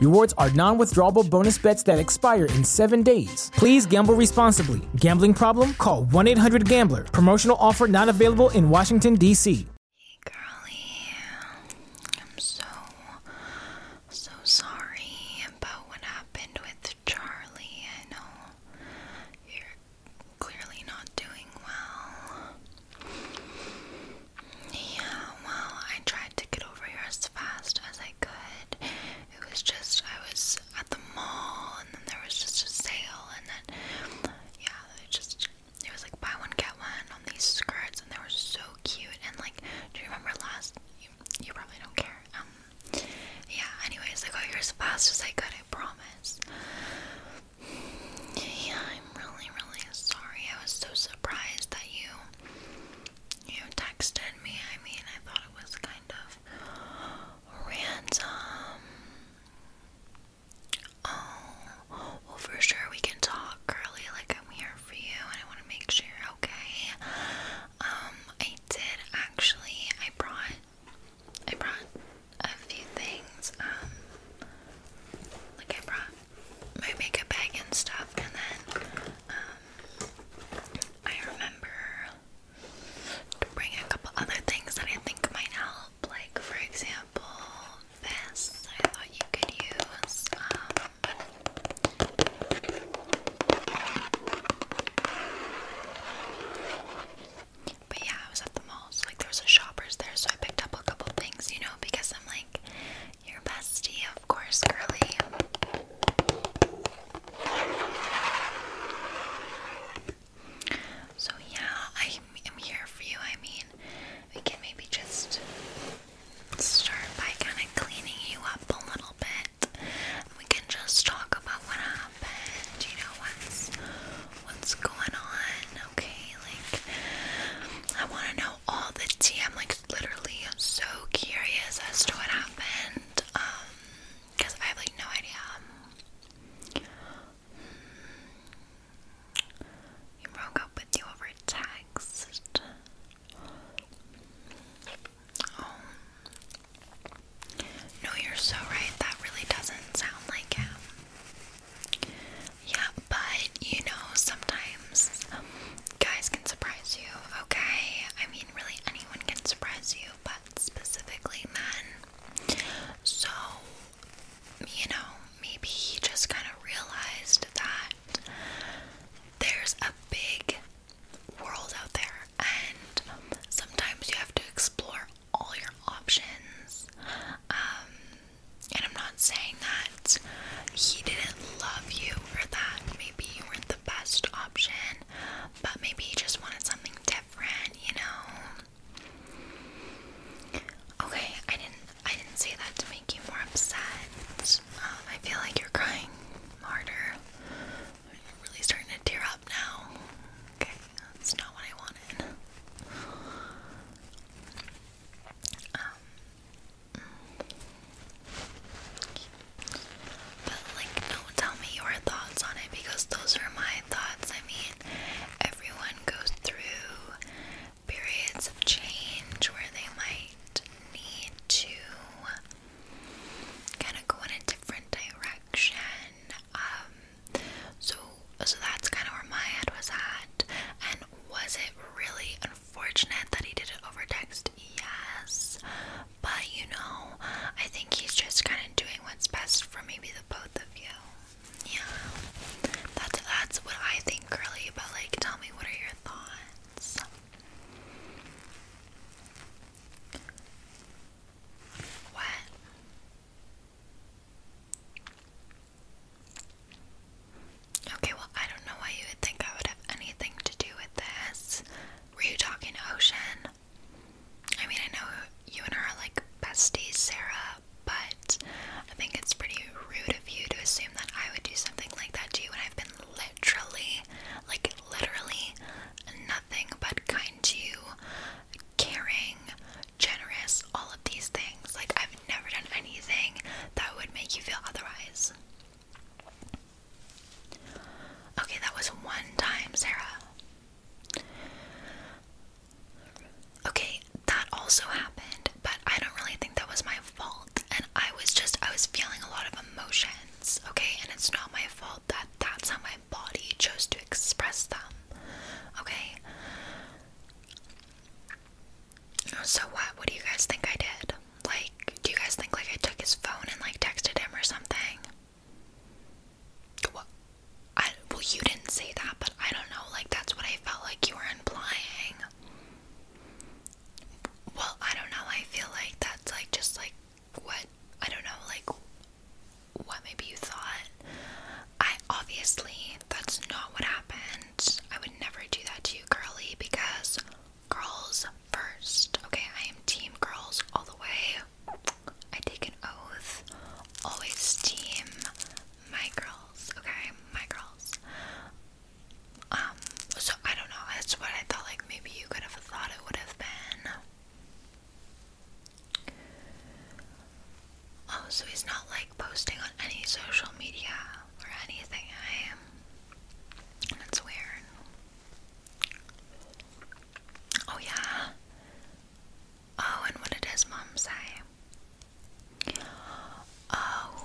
Rewards are non withdrawable bonus bets that expire in seven days. Please gamble responsibly. Gambling problem? Call 1 800 Gambler. Promotional offer not available in Washington, D.C. Hey, girlie. I'm so, so sorry about what happened with Charlie. I know you're clearly not doing well. Yeah, well, I tried to get over here as fast as I could. It was just, I was at the mall, and then there was just a sale, and then, yeah, it just, it was like buy one, get one on these skirts, and they were so cute. And, like, do you remember last? You, you probably don't care. Um, yeah, anyways, I got here as fast as I could, I promise. Yeah, I'm really, really sorry. I was so surprised that you you texted me. I mean, I thought it was kind of random. Oh, well, for sure we can talk, girly. Like, I'm here for you, and I want to make sure you're okay. Um, I did actually. I brought, I brought a few things. Um, like I brought my makeup bag and stuff, and then um, I remember to bring a couple other things that I think might help. Like for example, this I thought you could use. Um, but yeah, I was at the mall, like there was a shoppers there, so I picked up a couple things, you know, because I'm like, your bestie, of course, Curly. So, yeah, I am here for you. I mean, we can maybe just start by kind of cleaning you up a little bit. We can just talk about what happened, you know, what's, what's going on, okay? Like, I want to know all the tea. I'm like literally so curious as to what happened. because um, I have like no idea. Hmm. You broke up with you over text. Oh. No, you're so right. That really doesn't sound like him. Yeah, but you know, sometimes um, guys can surprise you, okay? I mean, really anyone can surprise you, but specifically men. So, you know, maybe he just kind of realized that there's a big world out there, and sometimes you have to explore all your options. Um, and I'm not saying that he didn't love you for that. Maybe you weren't the best option, but maybe he just wanted something different, you know. Okay, I didn't I didn't say that to make you more upset. Um, I feel like you're crying harder. You're really starting to tear up now. Okay, that's not what I wanted. Um, but like don't tell me your thoughts on it because those are my thoughts. I mean, everyone goes through periods of change where they might need to kind of go in a different direction. Um so so that's kind of where my head was at and was it really unfortunate fortunate that he did it over text, yes. But you know, I think he's just kind of doing what's best for maybe the both of you. Yeah, that's that's what I think, Curly. But like, tell me, what are your thoughts? What? Okay, well, I don't know why you would think I would have anything to do with this. Were you talking to Ocean? I mean, I know you and her are like besties, Sarah, but I think it's pretty rude of you to assume that I would do something like that to you when I've been literally, like, literally nothing but kind to you, caring, generous, all of these things. Like, I've never done anything that would make you feel otherwise. Okay, that was one time, Sarah. Okay, that also happened, but I don't really think that was my fault. And I was just, I was feeling a lot of emotions, okay? And it's not my fault that that's how my body chose to express them, okay? So what? What do you guys think I did? Like, do you guys think like I took his phone and like texted him or something? Well, you didn't say that, but I don't know. Like that's what I felt like you were implying. Well, I don't know. I feel like that's like just like what I don't know. Like what maybe you thought. I obviously that's not what happened. I would never do that to you, girly, because girls first. Okay, I am team girls all the way. I take an oath. Always team my girls. Okay, my girls. Um, so I don't know. That's what I thought. Like maybe you could have thought it would have been. Oh, so he's not like posting on any social media or anything. I am. That's weird. Oh, yeah. Oh, and what did his mom say? Oh,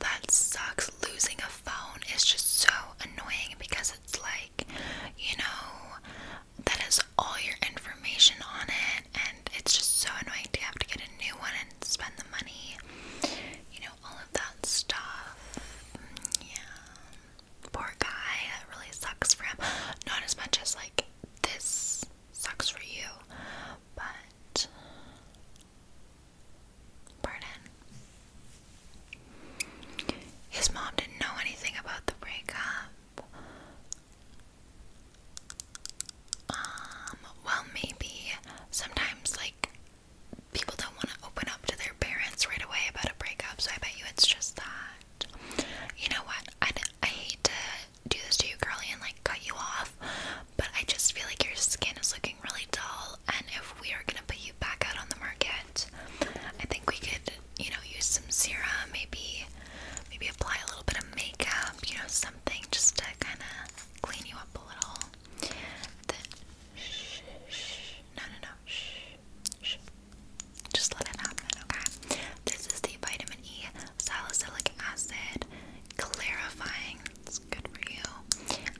that sucks. Losing a phone is just so annoying because it's like, you know, that has all your information on it and it's just so annoying to have to get a new one and spend the money, you know, all of that stuff. Mm, yeah, poor guy, that really sucks for him. Not as much as like this sucks for you, but pardon. His mom didn't know anything about the breakup. Um, well, maybe sometimes, like, people don't want to open up to their parents right away about a breakup, so I bet you it's just that. You know what? I, I hate to do this to you, Carly, and like cut you off, but I just feel like your skin is looking really dull, and if we are gonna put you back out on the market, I think we could, you know, use some serum, maybe maybe apply a little bit of makeup, you know, something just to kind of clean you up a little. shh, no, no, no, shh, shh. Just let it happen, okay? This is the vitamin E salicylic acid clarifying. It's good for you.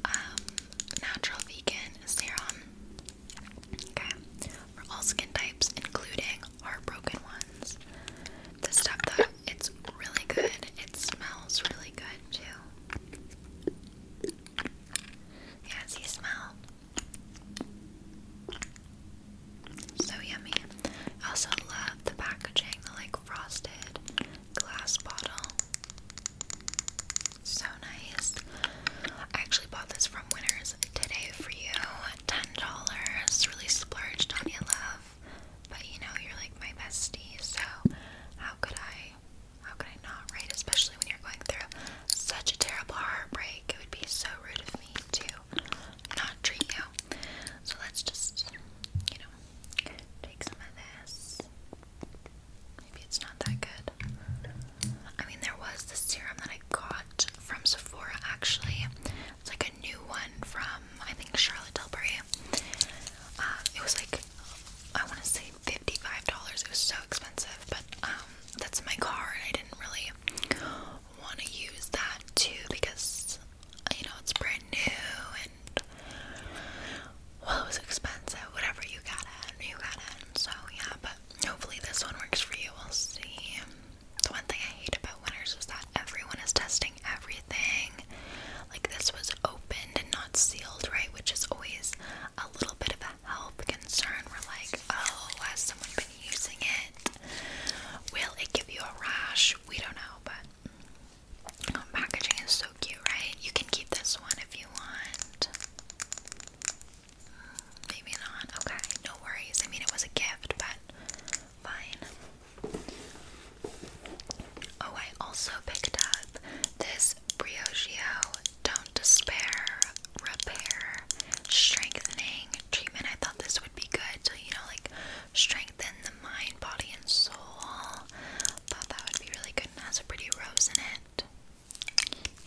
Um, natural vegan serum. Okay, for all skin types, including heartbroken ones. This stuff though, it's really good. It smells really good too. Yeah, see smell. So yummy. I also love the packaging, the like frosted glass bottle. So nice. I actually bought this from Winners today for you ten dollars. Really splurged on you, love. But you know, you're like my bestie, so how could I how could I not, right? Especially when you're going through such a terrible heartbreak. It would be so rude of me to not treat you. So let's just, you know, take some of this. Maybe it's not that good. I mean, there was the serum that I got from Sephora actually. It's like a new one from I think Charlotte Tilbury. Um, it was like I want to say fifty-five dollars. It was so expensive, but um, that's in my car, and I didn't really want to use that too because you know it's brand new and well, it was expensive. Whatever you got it, you got it. So yeah, but hopefully this one works for you. We'll see the one thing I hate about winners is that everyone is testing everything. Like this was opened and not sealed, right? Which is always a little bit of a health concern. We're like, oh, has someone been using it? Will it give you a rash? We don't know, but oh, packaging is so cute, right? You can keep this one if you want. Maybe not. Okay, no worries. I mean, it was a gift, but fine. Oh, I also picked up this Briogeo Don't Despair Repair Strengthening Treatment. I thought this would be good to, you know, like strengthen the mind, body, and soul. Thought that would be really good and has a pretty rose in it.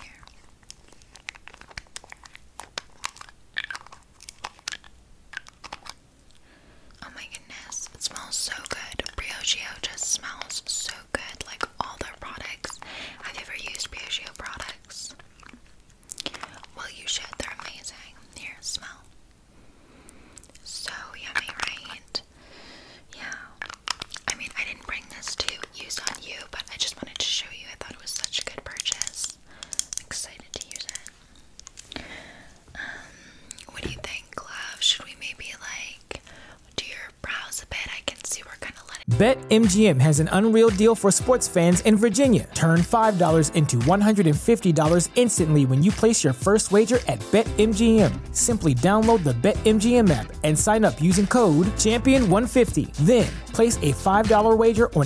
Here. Oh my goodness, it smells so good. Briogeo just smells so good, like all their products. Have you ever used Briogeo products? Well, you should, they're amazing. Here, smell. So yummy, right? Yeah. I mean, I didn't bring this to use on you, but I just wanted to show you. I thought it was such a good purchase. Um, Bet MGM has an unreal deal for sports fans in Virginia. Turn five dollars into one hundred and fifty dollars instantly when you place your first wager at BetMGM. Simply download the BetMGM app and sign up using code Champion One Hundred and Fifty. Then place a five dollar wager on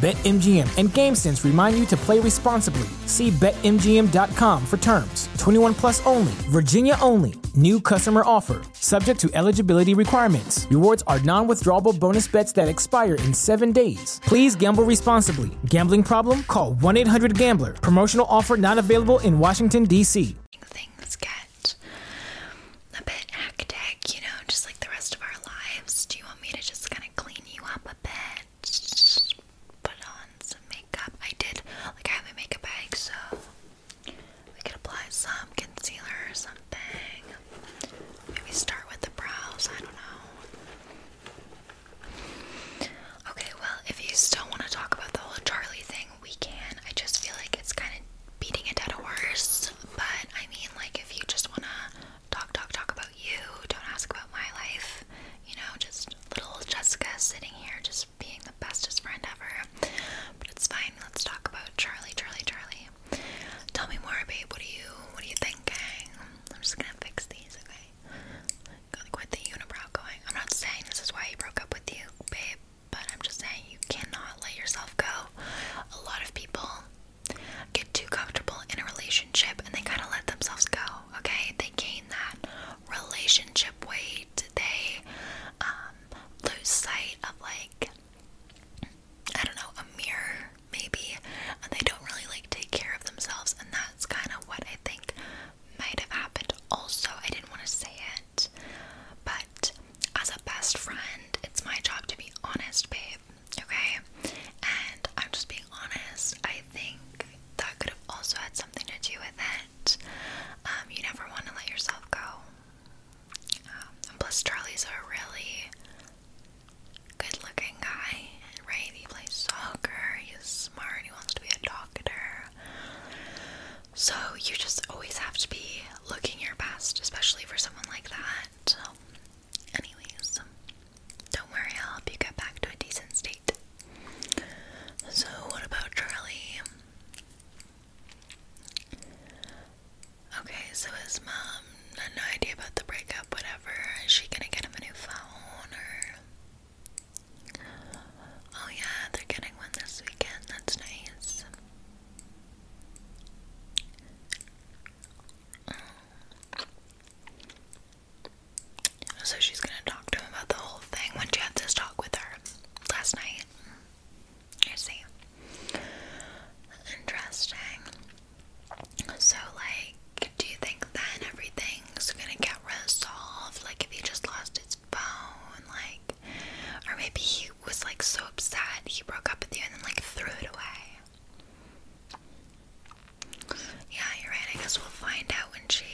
BetMGM and GameSense remind you to play responsibly. See BetMGM.com for terms. 21 plus only, Virginia only. New customer offer, subject to eligibility requirements. Rewards are non withdrawable bonus bets that expire in seven days. Please gamble responsibly. Gambling problem? Call 1 800 Gambler. Promotional offer not available in Washington, D.C. Things get a bit hectic, you know, just like the rest of our lives. Do you want me to just kind of clean? you up a bit. Put on some makeup. I did, like, I have a makeup bag, so we could apply some concealer or something. Maybe start with the brows. I don't know. Okay, well, if you still want to talk about the whole Charlie thing, we can. I just feel like it's kind of beating a dead horse. But I mean, like, if you just want to talk, talk, talk about you. Don't ask about my life. You know, just little Jessica sitting here, just being the bestest friend ever. But it's fine. Let's talk about Charlie, Charlie, Charlie. Tell me more, babe. What are you, what are you thinking? I'm just gonna fix these, okay? quit the unibrow going. I'm not saying this is why he broke up with you, babe, but I'm just saying you cannot let yourself go. A lot of people get too comfortable in a relationship and they kind of let themselves go, okay? They gain that relationship weight. They um, lose sight of, like, I don't know, a mirror, maybe. And they don't really, like, take care of themselves. And that's kind of what I think might have happened. Also, I didn't want to say it, but as a best friend, it's my job to be honest, babe. Okay? And I'm just being honest, I think that could have also had something to do with it. Um, you never want to let yourself go. Um, plus, Charlie's a really good looking guy, right? He plays soccer, he's smart, he wants to be a doctor. So, you just always have to be looking your best, especially for someone like that. Anyways, don't worry, I'll help you get back to a decent state. So, what about Charlie? Okay, so his mom had no idea about the breakup, whatever. Is she gonna get him a new phone or. Oh, yeah, they're getting one this weekend. That's nice. So she's gonna talk to him about the whole thing when she had this talk with her last night. You see. Interesting. So like, do you think then everything's gonna get resolved? Like if he just lost his phone, like or maybe he was like so upset he broke up with you and then like threw it away. Yeah, you're right. I guess we'll find out when she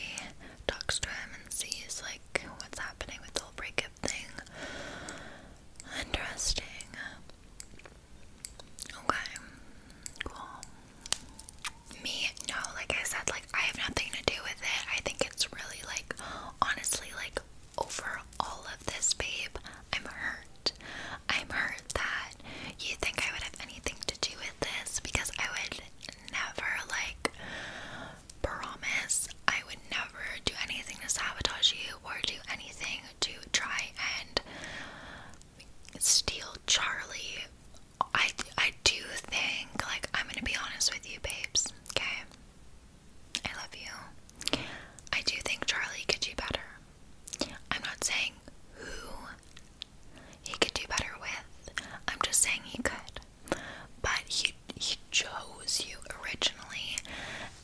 talks to him and sees like what's happening with the whole breakup thing. Interesting. Okay. Cool. Me, no, like I said, like I have nothing to do with it. I think it's really like honestly like over all of this, babe. I'm hurt. I'm hurt that you think I would have anything to do with this because I would never, like, promise I would never do anything to sabotage you or do anything to try and steal Charlie. I, I do think, like, I'm gonna be honest with you, babes, okay? I love you. I do think Charlie could do better. I'm not saying who he could do better with. I'm just saying he could. But he he chose you originally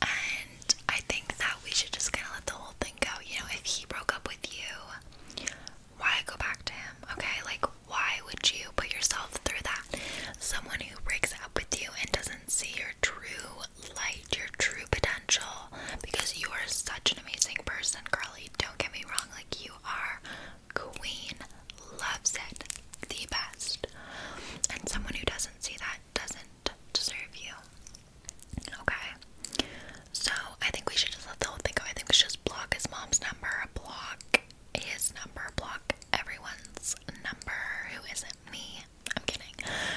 and I think that we should just kinda let the whole thing go. You know, if he broke up with you, why go back to him? Okay? Like why would you put yourself through that? Someone who breaks up with you and doesn't see your true light, your true potential, because you are such an amazing person, Carly. Don't get me wrong, like you are queen, loves it, the best. And someone who doesn't see that doesn't deserve you. Okay. So I think we should just let the whole thing go. I think we should just block his mom's number, block his number, block everyone's number who isn't me. I'm kidding.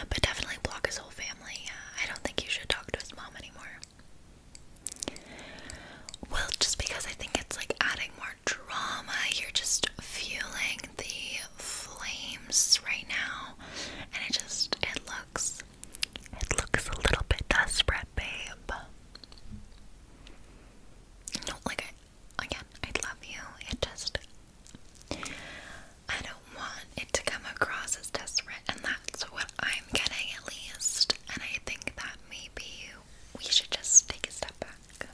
But definitely block his whole family. I don't think you should talk to his mom anymore. Well, just because I think it's like adding more drama, you're just fueling the flames right now. And it just it looks it looks a little bit desperate, babe. like again, I love you. It just I don't want it to come across as desperate, and that's what I'm getting at least. And I think that maybe we should just take a step back.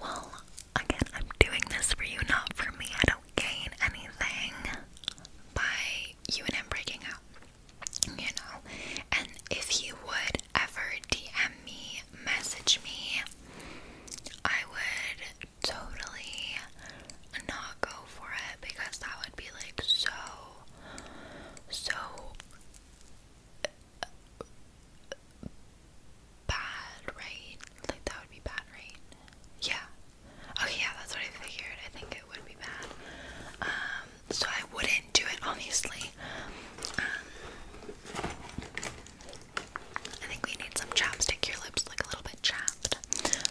Well, again, I'm doing this for you, not for me. I don't gain anything by you and him breaking up, you know. And if you would ever DM me, message me, I would totally not go for it because that would be like so, so bad, right? Like that would be bad, right? Yeah. Okay, yeah, that's what I figured. I think it would be bad. Um, so I wouldn't do it, obviously. Um, I think we need some chapstick. Your lips look a little bit chapped.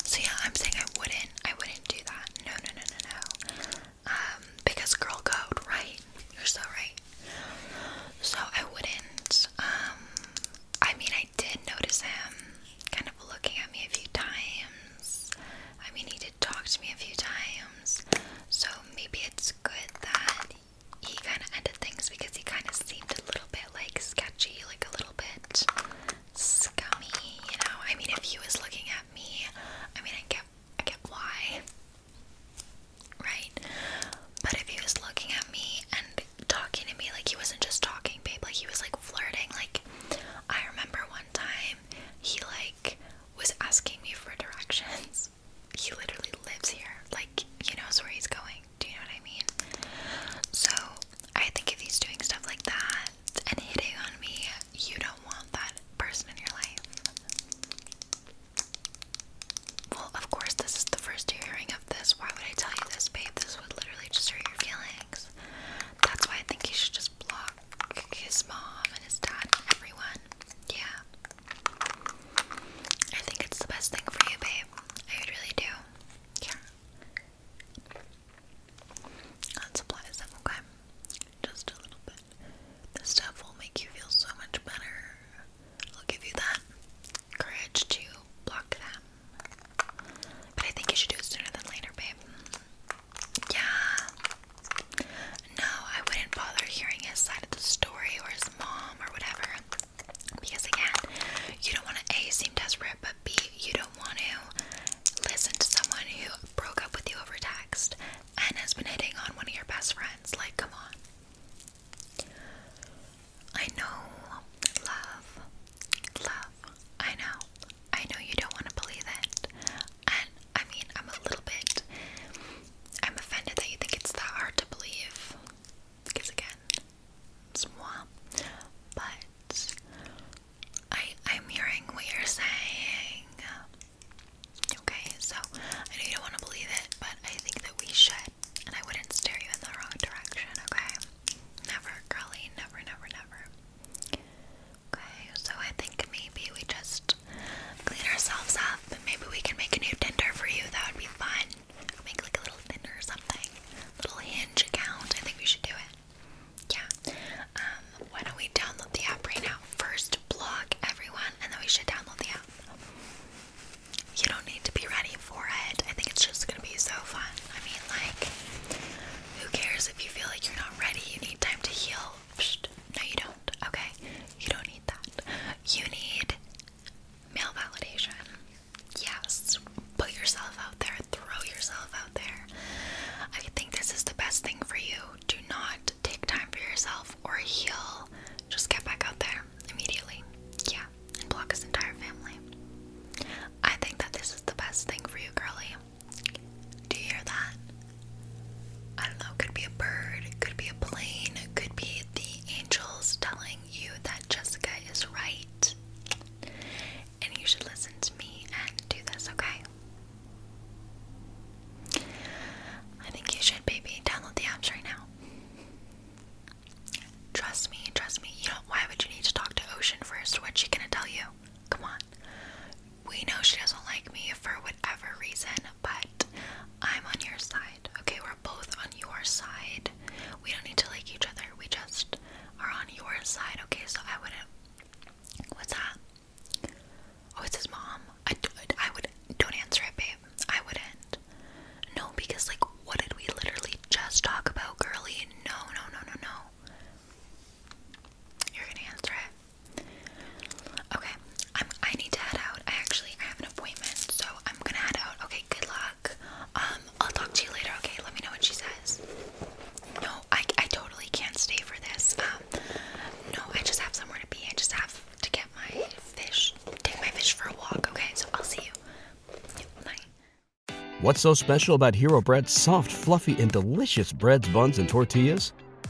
So yeah, I'm saying I wouldn't. I wouldn't do that. No, no, no, no, no. Um, because girl code, right? You're so right. So I wouldn't. Um, I mean, I did notice him kind of looking at me a few times. I mean, he did talk to me a few times. So maybe it's good that he kind of ended things because he kind of seemed a little bit like sketchy, like a little bit scummy, you know. I mean, if he was looking at me, I mean, I get, I get why, right? But if he was looking at me and talking to me, like he wasn't just talking, babe. Like he was like flirting. Like I remember one time he like was asking me for directions he literally lives here. Like, he knows where he's going. Do you know what I mean? So, I think if he's doing stuff like that and hitting on me, you don't want that person in your life. Well, of course, this is the first hearing of this. Why would I tell you this, babe? This would literally just hurt your feelings. That's why I think he should just block his mom and his dad and everyone. Yeah. I think it's the best thing for you, babe. I really do. Yeah. Let's apply okay? Just a little bit. This stuff will make you feel so much better. I'll give you that courage to block them. But I think you should do it sooner than later, babe. Yeah. No, I wouldn't bother hearing his side of the story or his mom or whatever. Because again, you don't want to A, seem desperate, but B, you don't want to listen to someone who broke up with you over text and has been hitting on one of your best friends. Like, come on. I know. Love. Love. I know. I know you don't want to believe it. I mean, I'm a little bit. I'm offended that you think it's that hard to believe. Because again, it's moi. But I I'm hearing what you're saying. Okay, so I know you don't want to believe it, but I think that we should, and I wouldn't steer you in the wrong direction, okay? Never, girly, never, never, never. Okay, so I think maybe we just clean ourselves up maybe we can make a new Tinder for you. That would be fun. Make like a little Tinder or something. Little hinge account. I think we should do it. Yeah. Um, why don't we download the app right now? First block everyone and then we should download the app. You don't need to be ready for it. I think it's just gonna be so fun. I mean like who cares if you feel like you're not ready, you need time to heal, no, you don't. Okay, you don't need that. You need male validation. Yes, put yourself out there, throw yourself out there. I think this is the best thing for you. Do not take time for yourself or heal. Just get back out there immediately. Yeah, and block his entire family. I think that this is the best thing for you, girly. Do you hear that? I don't know, could be a bird, could be a plane, could be the angels telling you that Jessica is right. And you should listen to me and do this, okay? I think you should, baby. Download the apps right now. Trust me, trust me. You know, why would you need to talk to Ocean first? What's she gonna tell you? Come on we know she doesn't like me for whatever reason, but I'm on your side. Okay, we're both on your side. We don't need to like each other. We just are on your side. Okay, so I wouldn't. What's that? Oh, it's his mom. I, I would. Don't answer it, babe. I wouldn't. No, because, like, what did we literally just talk about, girly? No, no, no, no, no. You're gonna answer it. Okay, I'm, I need to head out. I actually I have an appointment, so I'm gonna head out. Okay, good luck. Um, I'll talk to you later. Okay, let me know what she says. No, I I totally can't stay for this. Um, no, I just have somewhere to be. I just have to get my fish, take my fish for a walk. Okay, so I'll see you. Bye. What's so special about Hero Bread's soft, fluffy, and delicious breads, buns, and tortillas?